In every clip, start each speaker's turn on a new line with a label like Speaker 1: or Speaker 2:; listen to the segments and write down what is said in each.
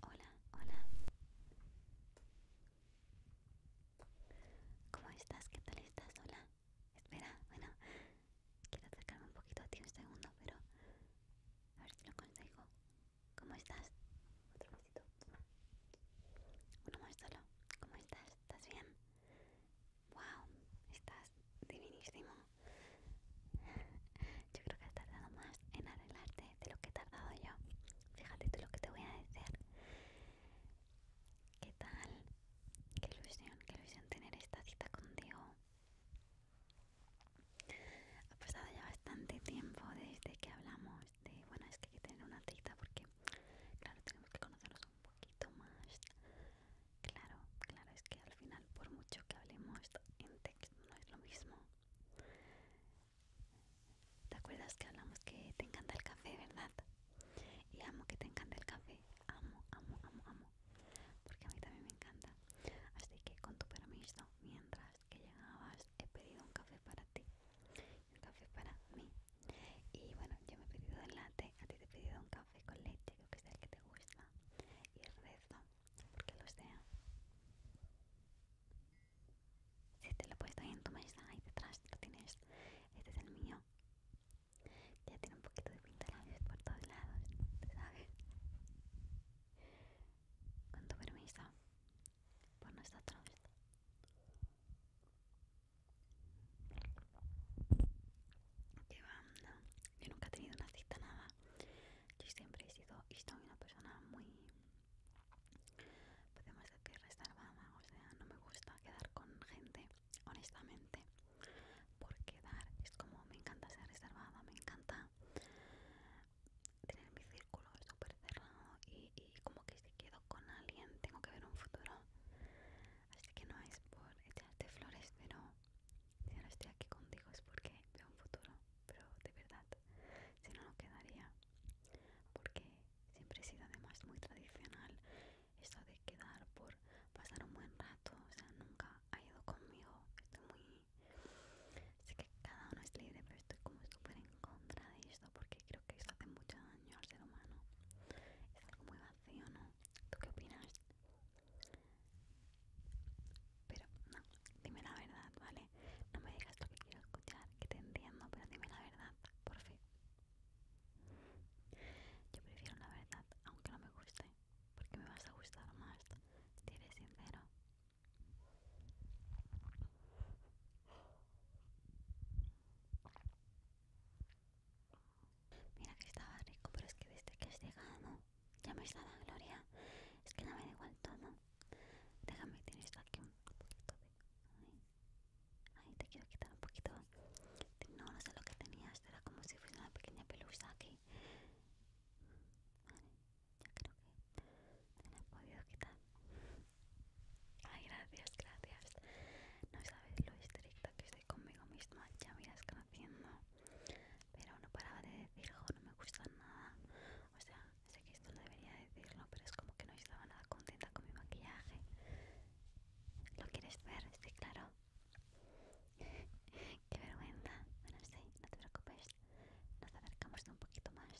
Speaker 1: Hola, hola. ¿Cómo estás? ¿Qué tal estás? Hola. Espera, bueno, quiero acercarme un poquito a ti un segundo, pero a ver si lo consigo. ¿Cómo estás? Otro besito. Uno más solo. ¿Cómo estás? ¿Estás bien? Wow, estás divinísimo. Yo creo que has tardado más en arreglarte de lo que he tardado yo. Fíjate tú lo que te voy a decir. ¿Qué tal? Qué ilusión, qué ilusión tener esta cita contigo. Ha pasado ya bastante tiempo desde que hablamos de, bueno, es que hay que tener una cita porque, claro, tenemos que conocernos un poquito más. Claro, claro, es que al final por mucho que hablemos en texto no es lo mismo. ¿Te acuerdas que hablamos que te encanta el café, verdad? Y amo que te encante el café. Amo, amo, amo, amo. Porque a mí también me encanta. Así que con tu permiso, mientras que llegabas, he pedido un café para ti. Un café para mí. Y bueno, yo me he pedido el latte, a ti te he pedido un café con leche, que es el que te gusta. Y el porque lo sea. Si te lo he puesto ahí en tu mesa, ahí detrás lo tienes. Este es el mío. Ya tiene un poquito de pintalabios por todos lados, ¿sabes? Con tu permiso, por nosotros. Que Yo nunca he tenido una cita nada. Yo siempre he sido y estoy una persona muy. Podemos decir reservada, o sea, no me gusta quedar con gente, honestamente. Por quedar, es como me encanta ser reservada, me encanta tener mi círculo súper cerrado y como que si quedo con alguien tengo que ver un futuro así que no es por echarte flores, pero si ahora estoy aquí contigo es porque veo un futuro, pero de verdad, si no, no quedaría, porque siempre he sido además muy tradicional, esto de quedar por pasar un buen rato, o sea, nunca ha ido conmigo, estoy muy... Sé que cada uno es libre, pero estoy como súper en contra de porque creo que esto hace mucho daño al ser humano. Es algo muy vacío, ¿no? ¿Tú qué opinas? Pero no, dime la verdad, ¿vale? No me digas lo que quiero escuchar, que te entiendo, pero dime la verdad, por fin. Yo prefiero la verdad, aunque no me guste, porque me vas a gustar más si eres sincero. Mira que estaba rico, pero es que desde que has llegado ya me está la gloria. Es que no me da igual todo. Déjame, esto aquí un poquito de. Ahí te quiero quitar un poquito. No, no sé lo que tenías. Era como si fuese una pequeña pelusa aquí. Vale, ya creo que te la he podido quitar. Ay, gracias, gracias. No sabes lo estricta que estoy conmigo misma, ya me lo conociendo. Pero no paraba de decir, no me gusta nada. O sea, sé que esto no debería decirlo, pero es como que no estaba nada contenta con mi maquillaje. ¿Lo quieres ver? Sí, claro. Qué vergüenza. Bueno, sí, no te preocupes. Nos acercamos un poquito más.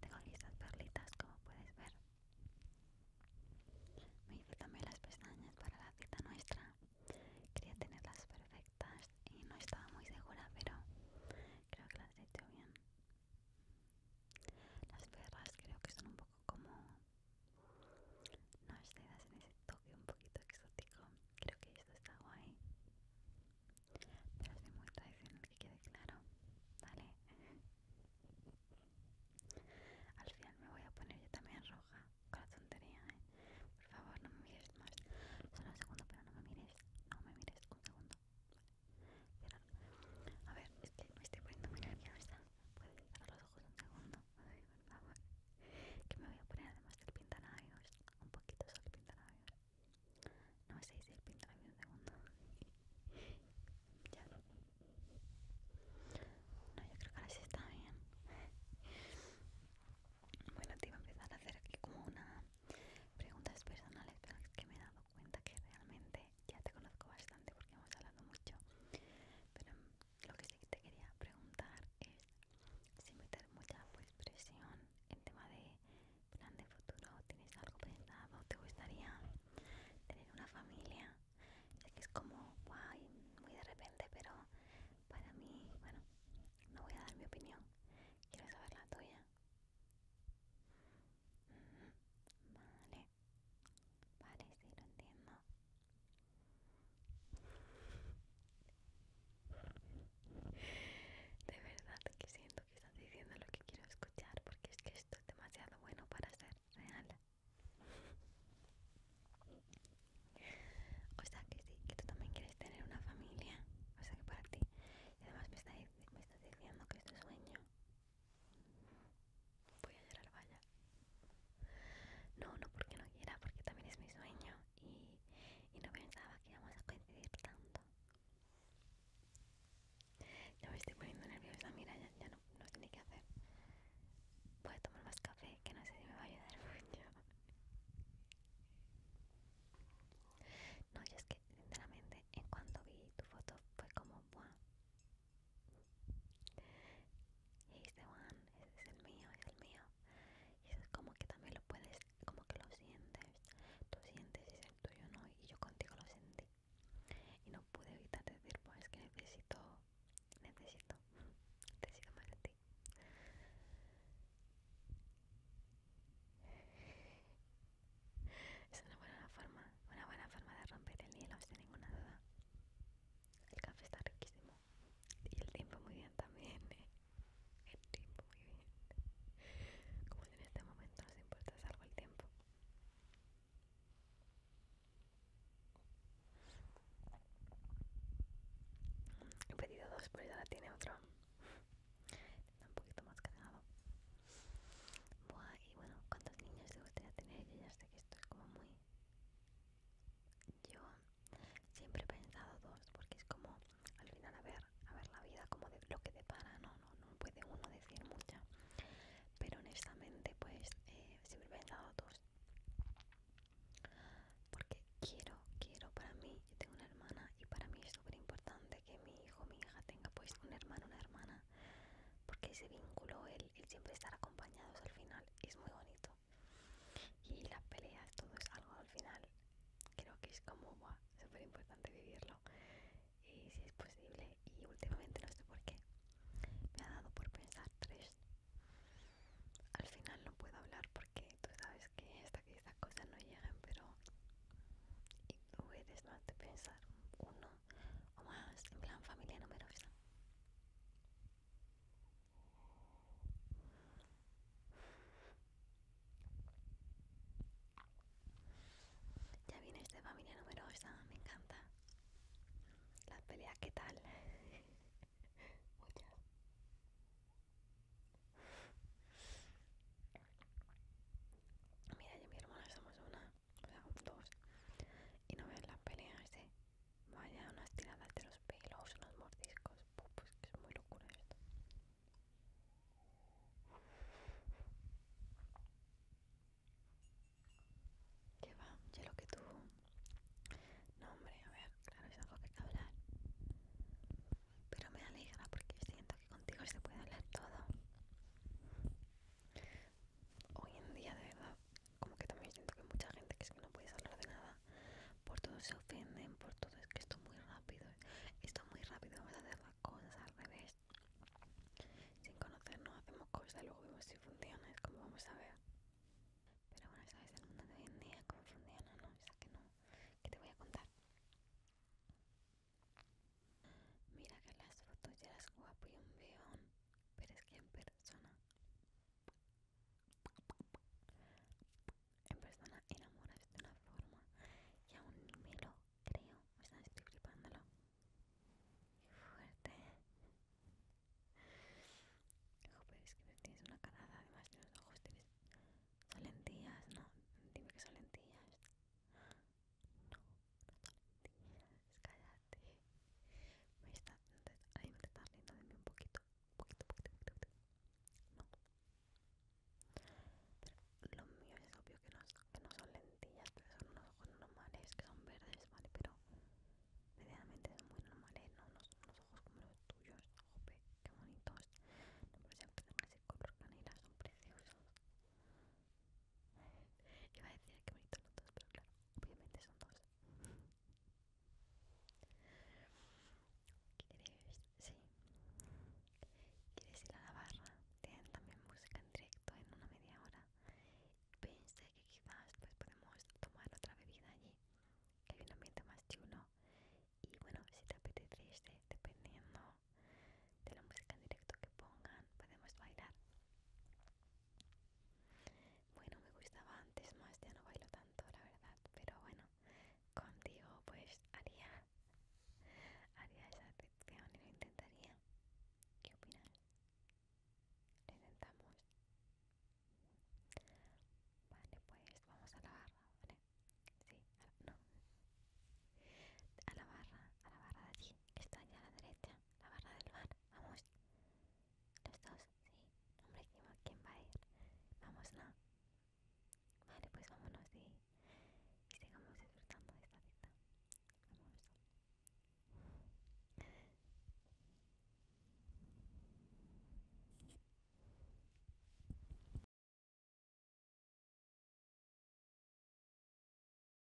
Speaker 1: Tengo listas perlitas, como puedes ver. Me hice también las pestañas para la cita nuestra. Quería tenerlas perfectas y no estaba muy segura, pero creo que las he hecho bien. Las perlas creo que son un poco como... No sé, en ese toque un poquito exótico. Creo que esto está guay pero es muy tradicional que quede claro, ¿vale? Al final me voy a poner yo también roja con la tontería, ¿eh? Por favor, no me mires más. Solo un segundo, pero no me mires. No me mires, un segundo. Vale. a ver, es que me estoy poniendo muy nerviosa. Puedes cerrar los ojos un segundo. Ay, por favor. Que me voy a poner además del pintalabios. Un poquito solo el pintalabios. No, sé si el un segundo. ya. No, yo creo que ahora sí está bien. Bueno, te iba a empezar a hacer aquí como una preguntas personales, pero es que me he dado cuenta que realmente ya te conozco bastante porque hemos hablado mucho. Pero lo que sí te quería preguntar es si me meter mucha pues, presión en tema de plan de futuro tienes algo pensado te gustaría tener una familia sé que es como guay muy de repente pero para mí bueno no voy a dar mi opinión quiero saber la tuya vale vale sí lo entiendo de verdad que siento que estás diciendo lo que quiero escuchar porque es que esto es demasiado bueno para ser real. O sea que sí, que tú también quieres tener una familia. O sea que para ti. Y además me, estás diciendo que es tu sueño. Voy a llorar, vaya. No, no porque no quiera, porque también es mi sueño. Y, y no pensaba que íbamos a coincidir tanto. Ya me estoy poniendo nerviosa, mira, ya, no, no sé qué hacer. Voy a tomar más café, que no sé si me va a ayudar mucho. No, yo es que, sinceramente, en cuanto vi tu foto fue como, ¡buah! He's the one, ese es el mío, es el mío. Y es como que también lo puedes como que lo sientes, tú sientes y es el tuyo no, y yo contigo lo sentí. Y no pude evitar decir, pues que necesito, necesito, necesito más de ti. Es una buena forma, una buena forma de romper el hielo, sin ninguna duda. El café está riquísimo. Y el tiempo muy bien también. Eh. El tiempo muy bien. Como en este momento nos importa salvo el tiempo. He pedido dos, pero ya la tiene otro. Está un poquito más cargado. Buah, y bueno, ¿cuántos niños te gustaría tener? Yo ya sé que esto es como muy yo siempre he pensado dos porque es como al final a ver a ver la vida como de, lo que depara no no puede uno decir mucha pero honestamente pues eh, siempre he pensado dos porque quiero quiero para mí yo tengo una hermana y para mí es súper importante que mi hijo mi hija tenga pues un hermano una hermana porque ese vínculo el siempre estar acompañados al final es muy bonito y las peleas todo es algo al final creo que es como súper importante vivirlo y si es posible y últimamente no sé por qué me ha dado por pensar tres al final no puedo hablar porque tú sabes que hasta que estas cosas no llegan pero y tú puedes más de pensar uno o más en plan familia numerosa ya viene de familia numerosa, me encanta. Las peleas, ¿qué tal? Mira, yo y mi hermana somos una, o sea, dos. Y no ves las peleas, ¿eh? Vaya, unas tiradas de los pelos, unos mordiscos. Pues que es muy locura esto. ¿Qué va? Ya lo que tú. No, hombre, a ver, claro, es algo que hay que hablar. Pero me alegra porque siento que contigo se puede hablar todo. Hoy en día, de verdad, como que también siento que mucha gente que es que no puedes hablar de nada, por todo se ofenden, por todo es que esto muy rápido, esto muy rápido, vamos a hacer las cosas al revés. Sin conocernos hacemos cosas, luego vemos si funciona, es como vamos a ver. Pero bueno, sabes el mundo de hoy en día cómo funciona, ¿no? O sea que no, que te voy a contar. Mira que las fotos ya las guapo y un pero es que en persona en persona enamoras de una forma y aún me lo creo. Me estoy flipándolo. Qué fuerte. Joder, es que tienes una carada, además de los ojos tienes son lentillas, no, dime que son lentillas. No, no son lentillas, callada. Me está, ahí me está riendo de mí un poquito, poquito, poquito, poquito, No. Pero lo mío es obvio que no, que no son lentillas, pero son unos ojos normales, que son verdes, ¿vale? Pero medianamente son muy normales, ¿no? Unos, unos ojos como los tuyos, jope, qué bonitos. No, pero siempre ese color canela, son preciosos. Iba a decir que bonitos los dos, pero claro. Obviamente son dos. ¿Quieres? ¿Quieres ir a la barra? Tienen también música en directo en una media hora. Pensé que quizás pues podemos tomar otra bebida allí. Que hay un ambiente más chulo. Y bueno, si te apetece, dependiendo de la música en directo que pongan, podemos bailar. Bueno, me gustaba antes más, ya no bailo tanto, la verdad. Pero bueno, contigo pues haría, haría esa petición y lo intentaría. ¿Qué opinas? Lo intentamos. Vale, pues vamos a la barra, ¿vale? Sí, a la, no. A la barra, a la barra de aquí está allá a la derecha, la barra del bar. Vamos los dos, sí. Hombre, ¿quién va a ir? Vamos, Vale, pues vámonos y, sigamos disfrutando de esta vida Vamos.